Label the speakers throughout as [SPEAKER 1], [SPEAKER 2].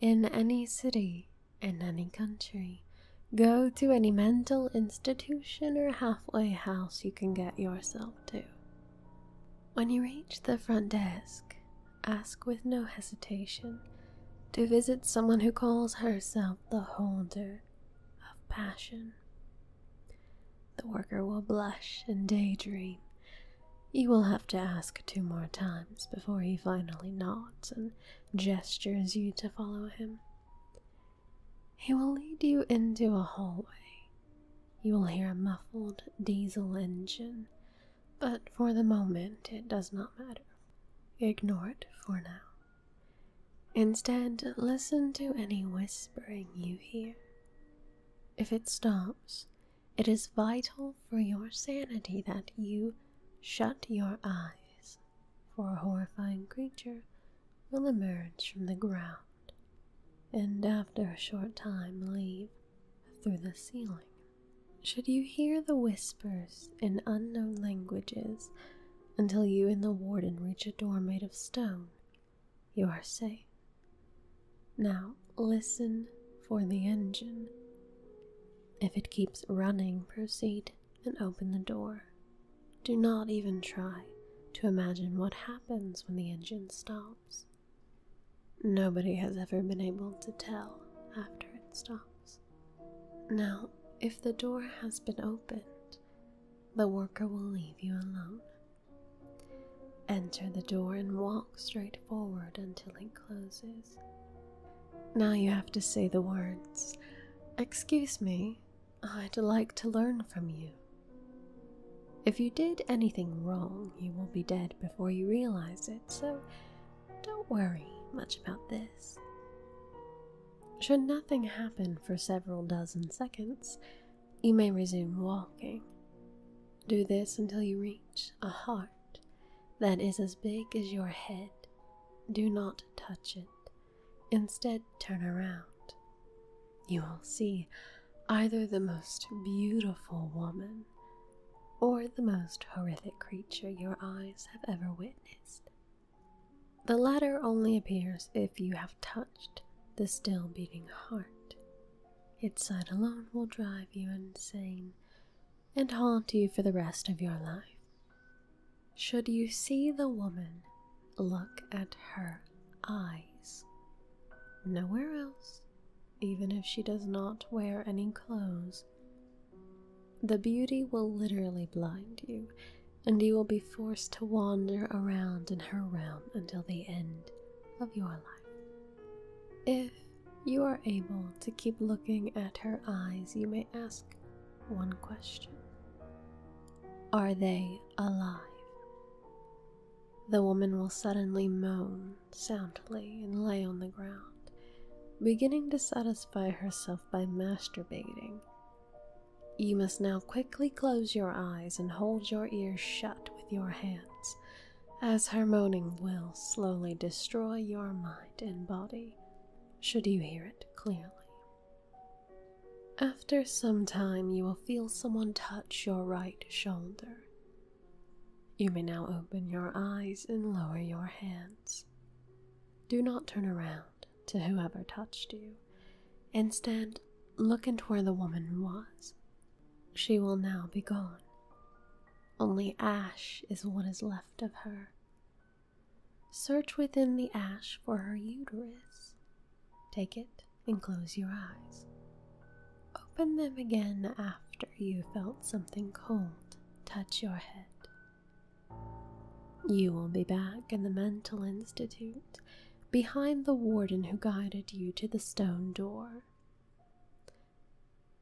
[SPEAKER 1] In any city, in any country, go to any mental institution or halfway house you can get yourself to. When you reach the front desk, ask with no hesitation to visit someone who calls herself the holder of passion. The worker will blush and daydream you will have to ask two more times before he finally nods and gestures you to follow him. He will lead you into a hallway. You will hear a muffled diesel engine, but for the moment it does not matter. Ignore it for now. Instead, listen to any whispering you hear. If it stops, it is vital for your sanity that you shut your eyes, for a horrifying creature will emerge from the ground and after a short time leave through the ceiling. Should you hear the whispers in unknown languages until you and the warden reach a door made of stone, you are safe. Now listen for the engine. If it keeps running, proceed and open the door. Do not even try to imagine what happens when the engine stops. Nobody has ever been able to tell after it stops. Now, if the door has been opened, the worker will leave you alone Enter the door and walk straight forward until it closes. Now you have to say the words, Excuse me, I'd like to learn from you. If you did anything wrong, you will be dead before you realize it, so don't worry much about this. Should nothing happen for several dozen seconds, you may resume walking. Do this until you reach a heart that is as big as your head. Do not touch it. Instead, turn around. You will see either the most beautiful woman or the most horrific creature your eyes have ever witnessed. The latter only appears if you have touched the still beating heart. Its sight alone will drive you insane and haunt you for the rest of your life. Should you see the woman, look at her eyes. Nowhere else, even if she does not wear any clothes. The beauty will literally blind you, and you will be forced to wander around in her realm until the end of your life. If you are able to keep looking at her eyes, you may ask one question Are they alive? The woman will suddenly moan soundly and lay on the ground, beginning to satisfy herself by masturbating you must now quickly close your eyes and hold your ears shut with your hands, as her moaning will slowly destroy your mind and body, should you hear it clearly. After some time, you will feel someone touch your right shoulder. You may now open your eyes and lower your hands. Do not turn around to whoever touched you. Instead, look into where the woman was. She will now be gone. Only ash is what is left of her. Search within the ash for her uterus. Take it and close your eyes. Open them again after you felt something cold touch your head. You will be back in the Mental Institute behind the warden who guided you to the stone door.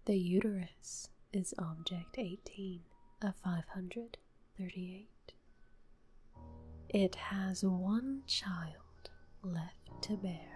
[SPEAKER 1] The uterus is object 18 of 538. It has one child left to bear.